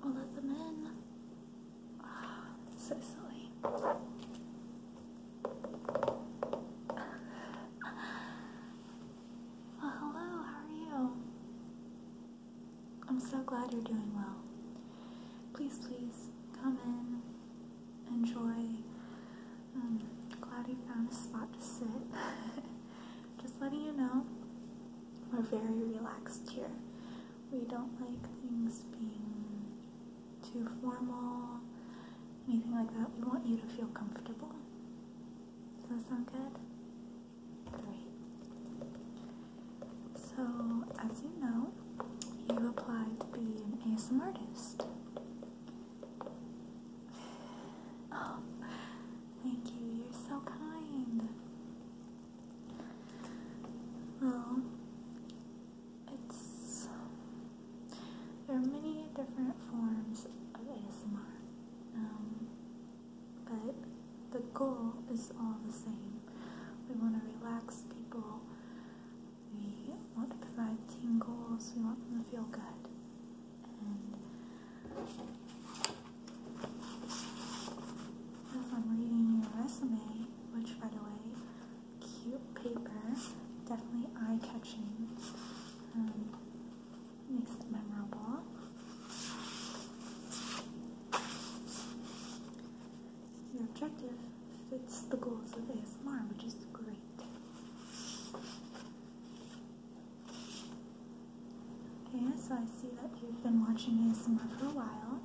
I'll let them in. so silly. hello, how are you? I'm so glad you're doing well. Please, please come in, enjoy. i um, glad you found a spot to sit. Just letting you know, we're very relaxed here. We don't like things being too formal, anything like that. We want you to feel comfortable. Does that sound good? Great. So, as you know, you applied to be an ASM artist. Oh, thank you. You're so kind. Well, it's there are many different forms of ASMR, um, but the goal is all the same. We want to relax people. We want to provide tingles. We want them to feel good, as I'm reading your resume, which by the way, cute paper, definitely eye-catching, um, makes it memorable. Your objective fits the goals of ASMR, which is great. Okay, so I see that you've been watching ASMR for a while,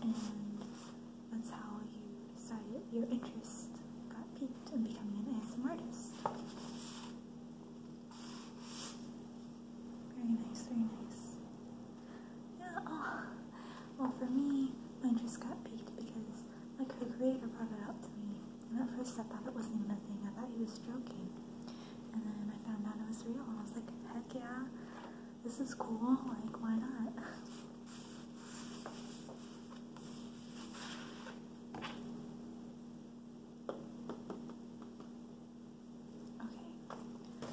and that's how you decided your interest got piqued in becoming an ASMR artist. Very nice, very nice. Yeah, oh, well for me, my interest got piqued because my co creator brought it out to me, and at first I thought it wasn't a thing, I thought he was joking and then I found out it was real, and I was like, heck yeah, this is cool, like, why not? Okay,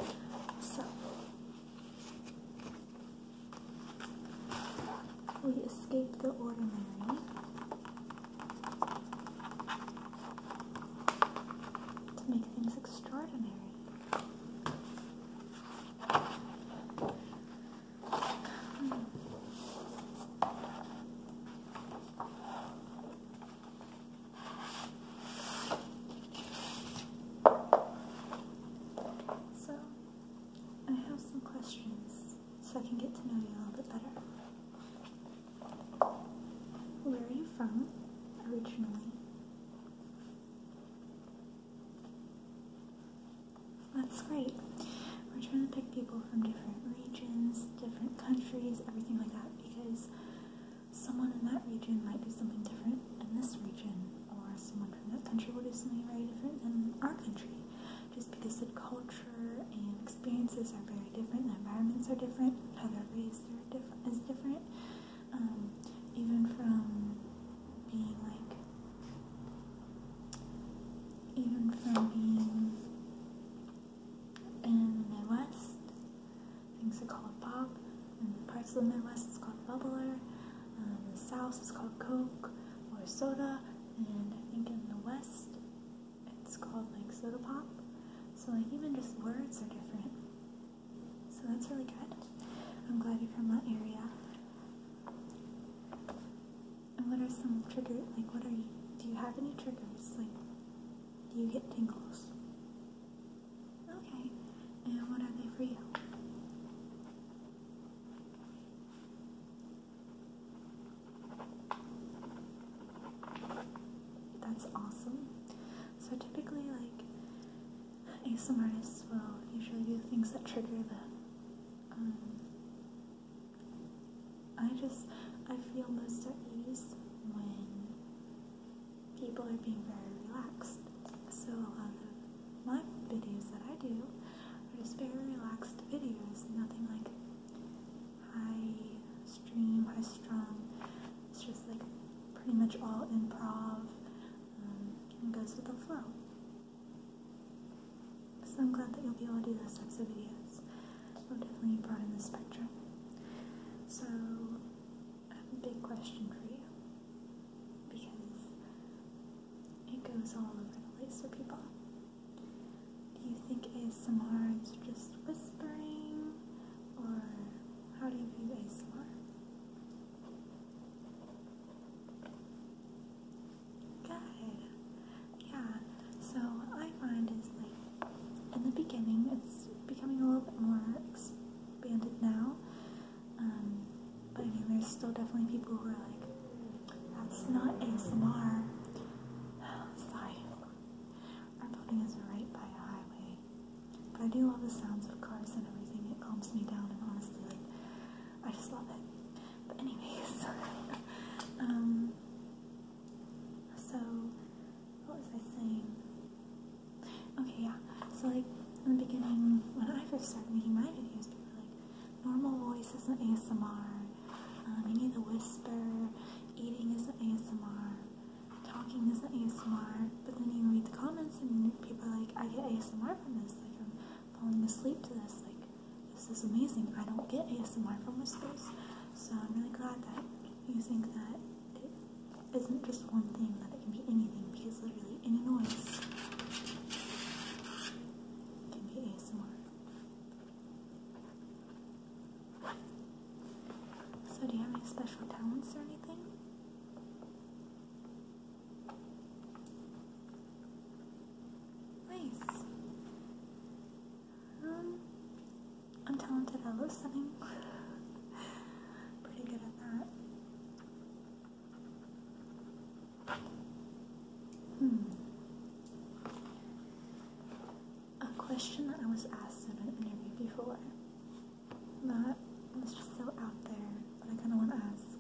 so we escape the ordinary to make things extraordinary. So, I have some questions so I can get to know you a little bit better. Where are you from originally? That's great. We're trying to pick people from different regions, different countries, everything like that, because someone in that region might do something different in this region, or someone from that country will do something very different in our country, just because the culture and experiences are very different, the environments are different, how they're raised, is different um, even from being like even from being in the Midwest things are called pop in parts of the Midwest it's called bubbler in um, the South it's called Coke or soda and I think in the West it's called like soda pop. So like even just words are different. So that's really good. I'm glad you're from that area. And what are some triggers? Like what are you? Do you have any triggers? Like do you get tingles? Okay. And what are they for you? That's awesome. So typically, like some artists will usually do things that trigger them. Um, I just I feel most at ease when people are being very relaxed. So a lot of my videos that I do are just very relaxed videos, nothing like high stream, high strung. just like pretty much all improv um, goes with the flow. So I'm glad that you'll be able to do those types of videos. I'll definitely broaden the spectrum. So I have a big question for you because it goes all over the place for people. Do you think ASMR is just whispering? or how do you view ASMR? Good. Yeah. So I find is like in the beginning it's becoming a little bit more expanded now. Um, but I mean there's still definitely people who are like, that's not ASMR. Sorry. Our building is right by a highway. But I do love the sounds of cars and everything. It calms me down, and honestly, like, I just love it. But anyways, um, so what was I saying? Okay, yeah. So like in the beginning, when I first started making my videos, people were like, normal voice isn't ASMR. Um, you need to whisper. Eating isn't ASMR talking isn't ASMR, but then you read the comments and people are like, I get ASMR from this, like I'm falling asleep to this, like this is amazing. I don't get ASMR from this place. so I'm really glad that you think that it isn't just one thing, that it can be anything, because literally any noise can be ASMR. So, do you have any special talents or anything? Nice. Um, I'm talented at listening. Pretty good at that. Hmm a question that I was asked in an interview before that was just so out there, that I kind of want to ask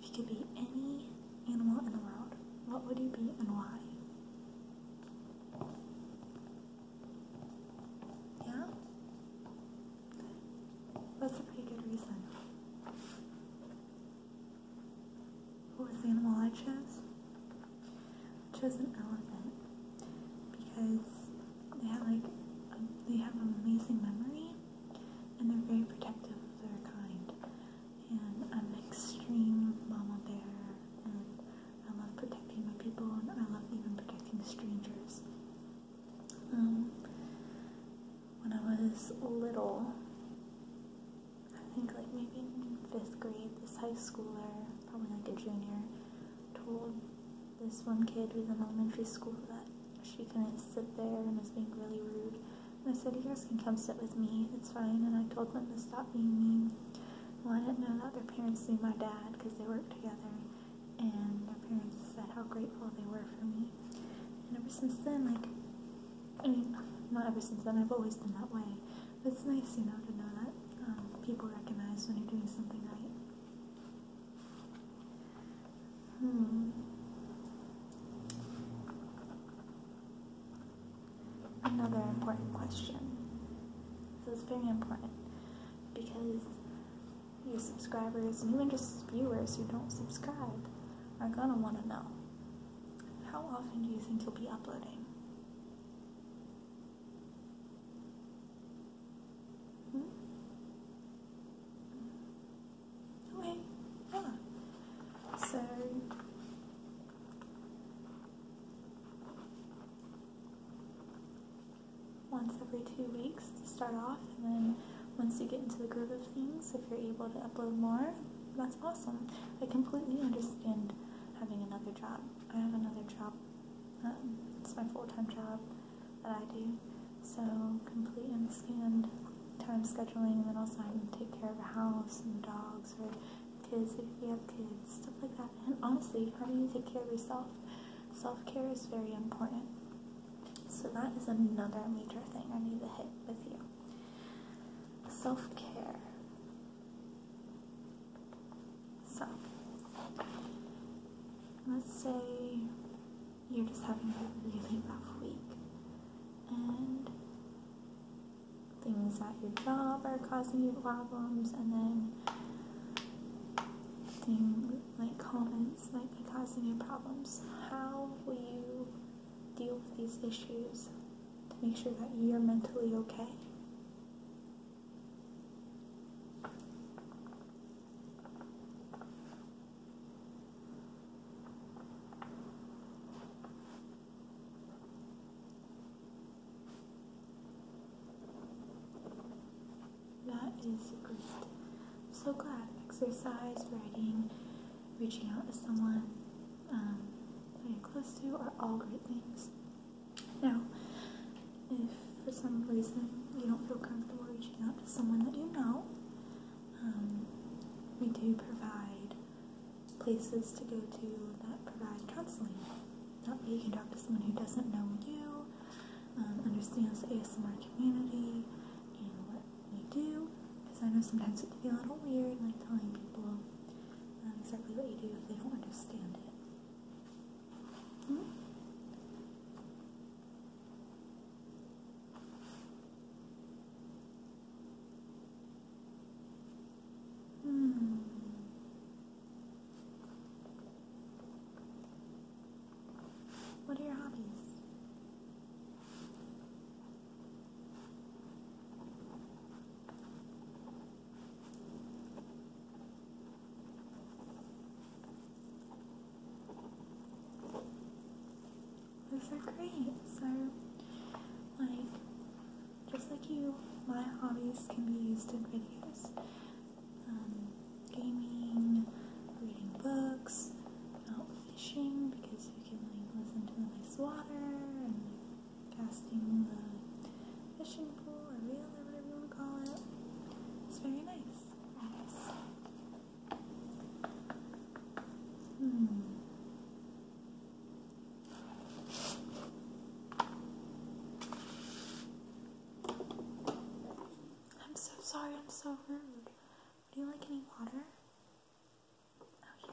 if you could be any animal in the world, what would you be and why? Yeah? That's a pretty good reason. What was the animal I chose? chose an elephant because they have like they have amazing memory and they're very protective of their kind. And I'm extreme mama bear and I love protecting my people and I love even protecting strangers. Um, when I was little, I think like maybe in fifth grade, this high schooler, probably like a junior, told this one kid who's in elementary school that she couldn't sit there and was being really rude. And I said, you guys can come sit with me, it's fine. And I told them to stop being mean. Well, I didn't know that their parents knew my dad because they worked together. And their parents said how grateful they were for me. And ever since then, like, I mean, not ever since then, I've always been that way it's nice, you know, to know that um, people recognize when you're doing something right. Hmm. Another important question. This is very important because your subscribers and even just viewers who don't subscribe are gonna want to know how often do you think you'll be uploading? Hmm? Okay, yeah. So once every two weeks to start off, and then once you get into the groove of things, if you're able to upload more, that's awesome. I completely understand having another job. I have another job. Um, it's my full-time job that I do. So complete and scanned time scheduling and then also having to take care of a house and dogs or kids if you have kids, stuff like that. And honestly, how do you take care of yourself? Self-care is very important. So that is another major thing I need to hit with you. Self-care. So, let's say you're just having a really rough week and things at your job are causing you problems and then things like comments might be causing you problems. How will you deal with these issues to make sure that you're mentally okay? That is great. I'm so glad. Exercise, writing, reaching out to someone, um, uh, close to are all great things. Now, if for some reason you don't feel comfortable reaching out to someone that you know, um, we do provide places to go to that provide counseling. That way you can talk to someone who doesn't know you, um, understands the ASMR community, and what we do. Because I know sometimes it can be a little weird, like telling people um, exactly what you do if they don't understand it. Hmm. What are your hobbies? Those are great. So, like, just like you, my hobbies can be used in videos. Um, gaming, reading books, out fishing because you can like listen to the nice water and casting the fishing pole or reel or whatever you want to call it. It's very nice. Nice. Hmm. I'm so sorry, I'm so rude. Do you like any water? Okay. Oh,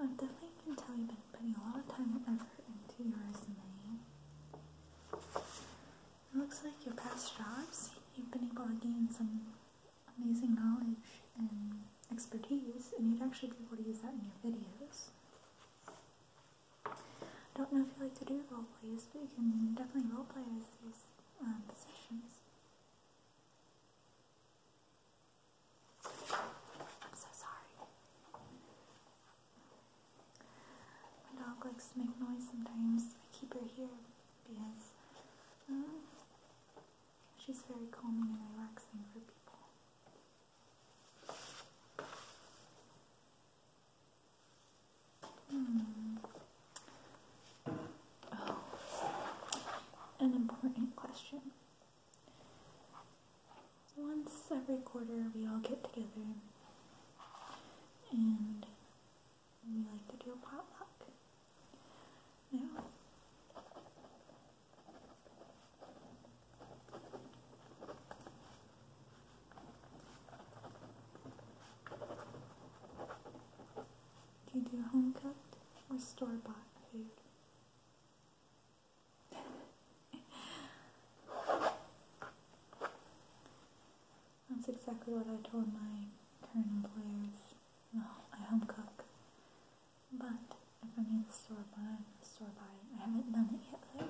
I definitely can tell you've been putting a lot of time and effort into your resume. It looks like your past jobs, you've been able to gain some amazing knowledge and expertise, and you'd actually be able to use that in your videos. I don't know if you like to do role plays, but you can definitely role play as these um, positions. I'm so sorry. My dog likes to make noise sometimes. I keep her here because um, she's very calming and relaxing for people. Hmm. Oh. an important question. Once every quarter, we all get together and we like to do a potluck. Now, do you do home cooked or store bought food? That's exactly what I told my current employers. No, I home cook. But if I need to store buy, store buy I haven't done it yet though.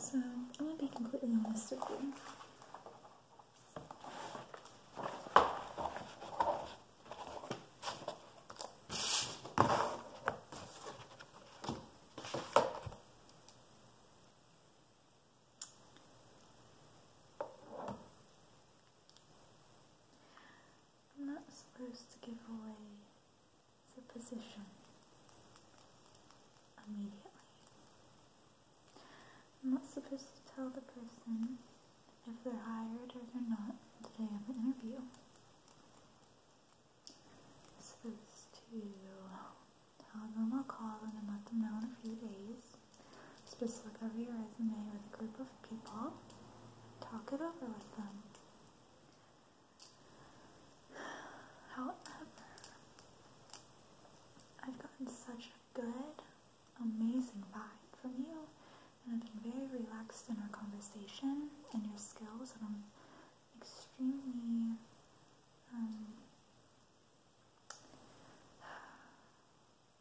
So, I'm going to be completely honest with you. I'm not supposed to give away the position immediately. I'm not supposed to tell the person if they're hired or they're not the day of the interview. I'm supposed to tell them I'll call them and let them know in a few days. Just look over your resume with a group of people, talk it over with them. However, I've gotten such a good, amazing vibe from you, and I've been very relaxed in our conversation and your skills, and I'm extremely um,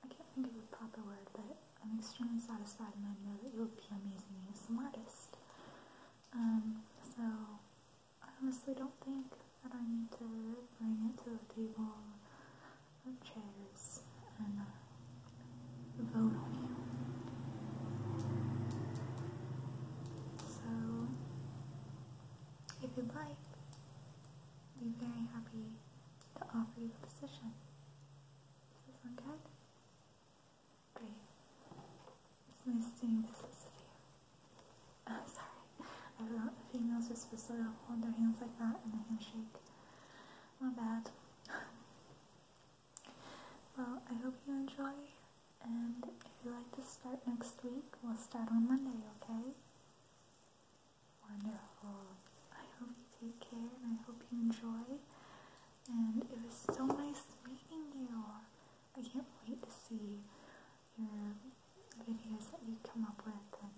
I can't think of a proper word, but I'm extremely satisfied and I know that you'll be amazing ASM artist. Um, so I honestly don't think that I need to bring it to the table of chairs and uh, vote on you. So if you'd like, I'd be very happy to offer you the position. Is this one good? Great. It's nice doing business with you. I'm oh, females are supposed to hold their hands like that and a handshake. My bad. well, I hope you enjoy. And if you like to start next week, we'll start on Monday, okay? Wonderful. I hope you take care and I hope you enjoy. And it was so nice meeting you. I can't wait to see your videos that you come up with and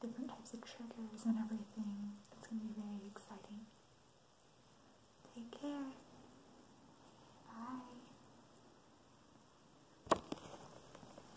different types of triggers and everything. It's going to be very exciting. Take care. Bye.